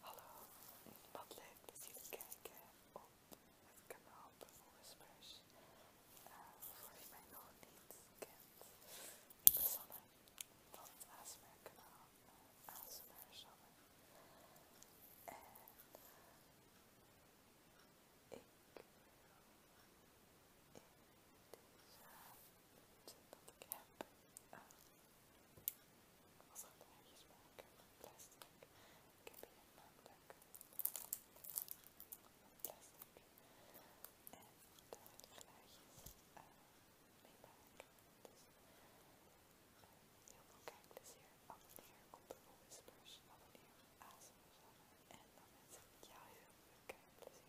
Hallo, wat leuk dat jullie kijken op het kanaal de Whispers. voor wie mij nog niet kent, ik ben Sanne van het ASMR kanaal uh, ASMR Sanne. En ik in deze dat ik heb uh, als dat maken Ik heb hier een naamdak van En daar wil ik glaadjes eh, mee maken. Dus, eh, heel veel kijkplezier. Abonneer op de Whispers. Abonneer op ASMR. En dan wens ik jou heel veel kijkplezier.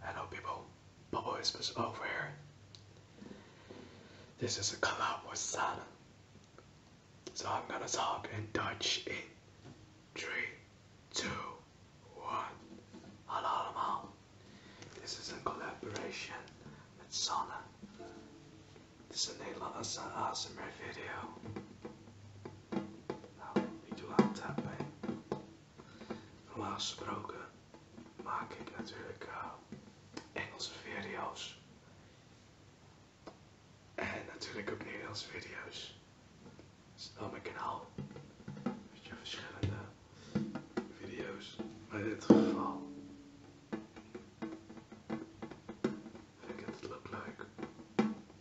Hello people, Bobo is over oh, here. This is a collaboration, with Sana. So I'm gonna talk in Dutch in three, two, one. 2, 1. This is a collaboration with Sana. This is Nederlandse ASMR video. Nou, niet te lang tappen. Normaal gesproken maak ik natuurlijk eh, Engelse video's. En natuurlijk ook Nederlandse video's. Op mijn kanaal. Weet je, verschillende video's. Maar in dit geval vind ik het ook leuk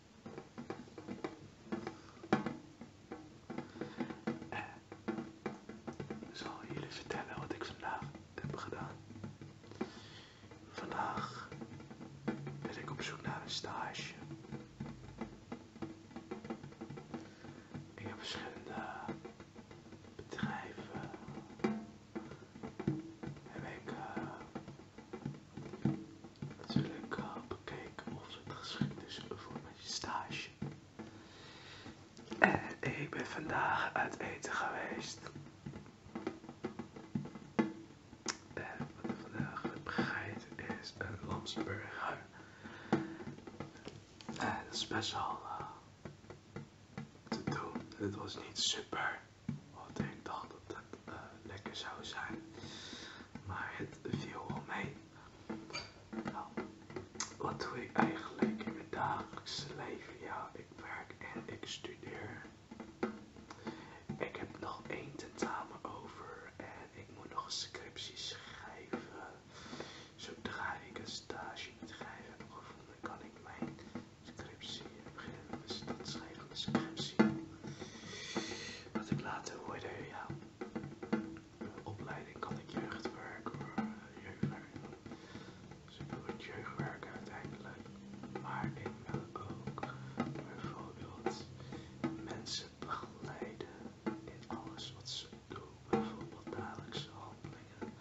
En eh, ik zal jullie vertellen wat ik vandaag heb gedaan. Vandaag ben ik op zoek naar een stage. Ik heb verschillende bedrijven. en ik eh, natuurlijk we kijken of het geschikt is voor mijn stage. En ik ben vandaag uit eten geweest. En wat ik vandaag heb gegeten is een lamsburger. En dat is best wel eh, te doen. Het was niet super. Want ik dacht dat het eh, lekker zou zijn. Maar het viel al mee. Nou, wat doe ik eigenlijk in mijn dagelijkse leven? Ja, ik werk en ik studeer. Ik heb nog één tentamen over en ik moet nog een scriptie schrijven. Zodra ik een stage bedrijf heb gevonden, kan ik mijn scriptie, beginnen dat schrijven van de scriptie. Wat ik later hoorde, ja, opleiding kan ik jeugdwerk jeugdwerk. Dus ik wil het jeugdwerk uiteindelijk, maar ik wil ook bijvoorbeeld mensen begeleiden in alles wat ze doen, bijvoorbeeld dagelijkse handelingen,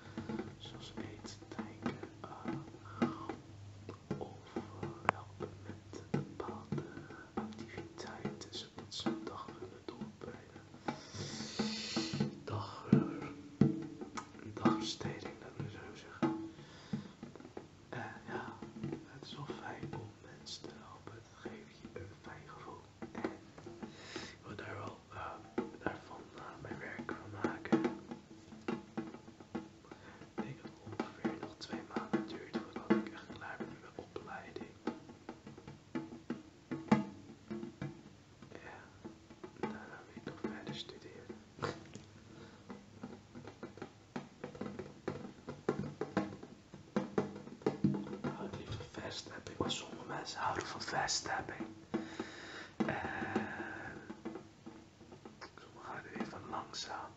zoals eten, denken, gaan, eh, op helpen met bepaalde bepaalde zodat Ze een zijn dag kunnen eh, doorbrengen. Dag, een dagbesteding, dat moet zo zeggen. En eh, ja, het is wel fijn om mensen te helpen. Het geeft je een fijn gevoel. En ik wil daar wel eh, daarvan mijn werk van maken. Ik denk dat het ongeveer nog twee maanden duurt voordat ik echt klaar ben met mijn opleiding. Ja, daarna gaan ik nog verder studeren. Houd oh, niet van vesthapping, maar sommige mensen houden van vesthapping. En eh, we gaan er even langzaam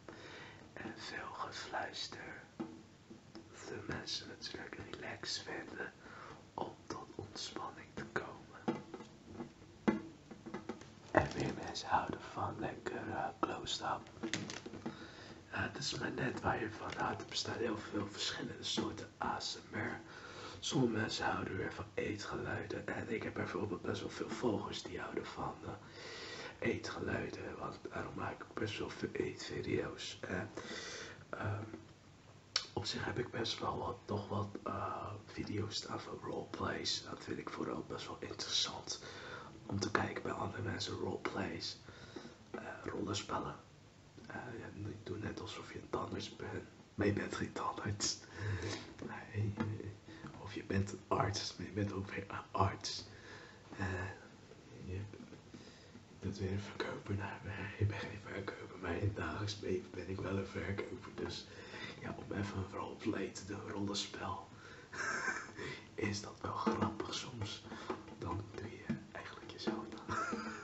en veel gefluister. De mensen natuurlijk relaxed vinden om tot ontspanning te komen. En weer mensen houden van lekker close-up. Eh, eh, het is maar net waar je van houdt. Er bestaan heel veel verschillende soorten ASMR sommige mensen houden weer van eetgeluiden. En ik heb bijvoorbeeld best wel veel volgers die houden van eh, eetgeluiden. Want daarom maak ik best wel veel eetvideo's. En ehm, op zich heb ik best wel wat, nog wat eh, video's staan van roleplays. Dat vind ik vooral best wel interessant. Om te kijken bij andere mensen roleplays. Uh, rollenspellen. Eh, ik doe net alsof je een tandarts bent. Maar je bent geen tandarts. Nee, eh, of je bent een arts, maar je bent ook weer een arts. Eh, je, bent weer een verkoper naar je bent geen verkoper, maar in het dagelijks leven ben ik wel een verkoper. Dus ja, om even een roleplay te doen, rollenspel, is dat wel grappig soms. Dan doe je eigenlijk jezelf na.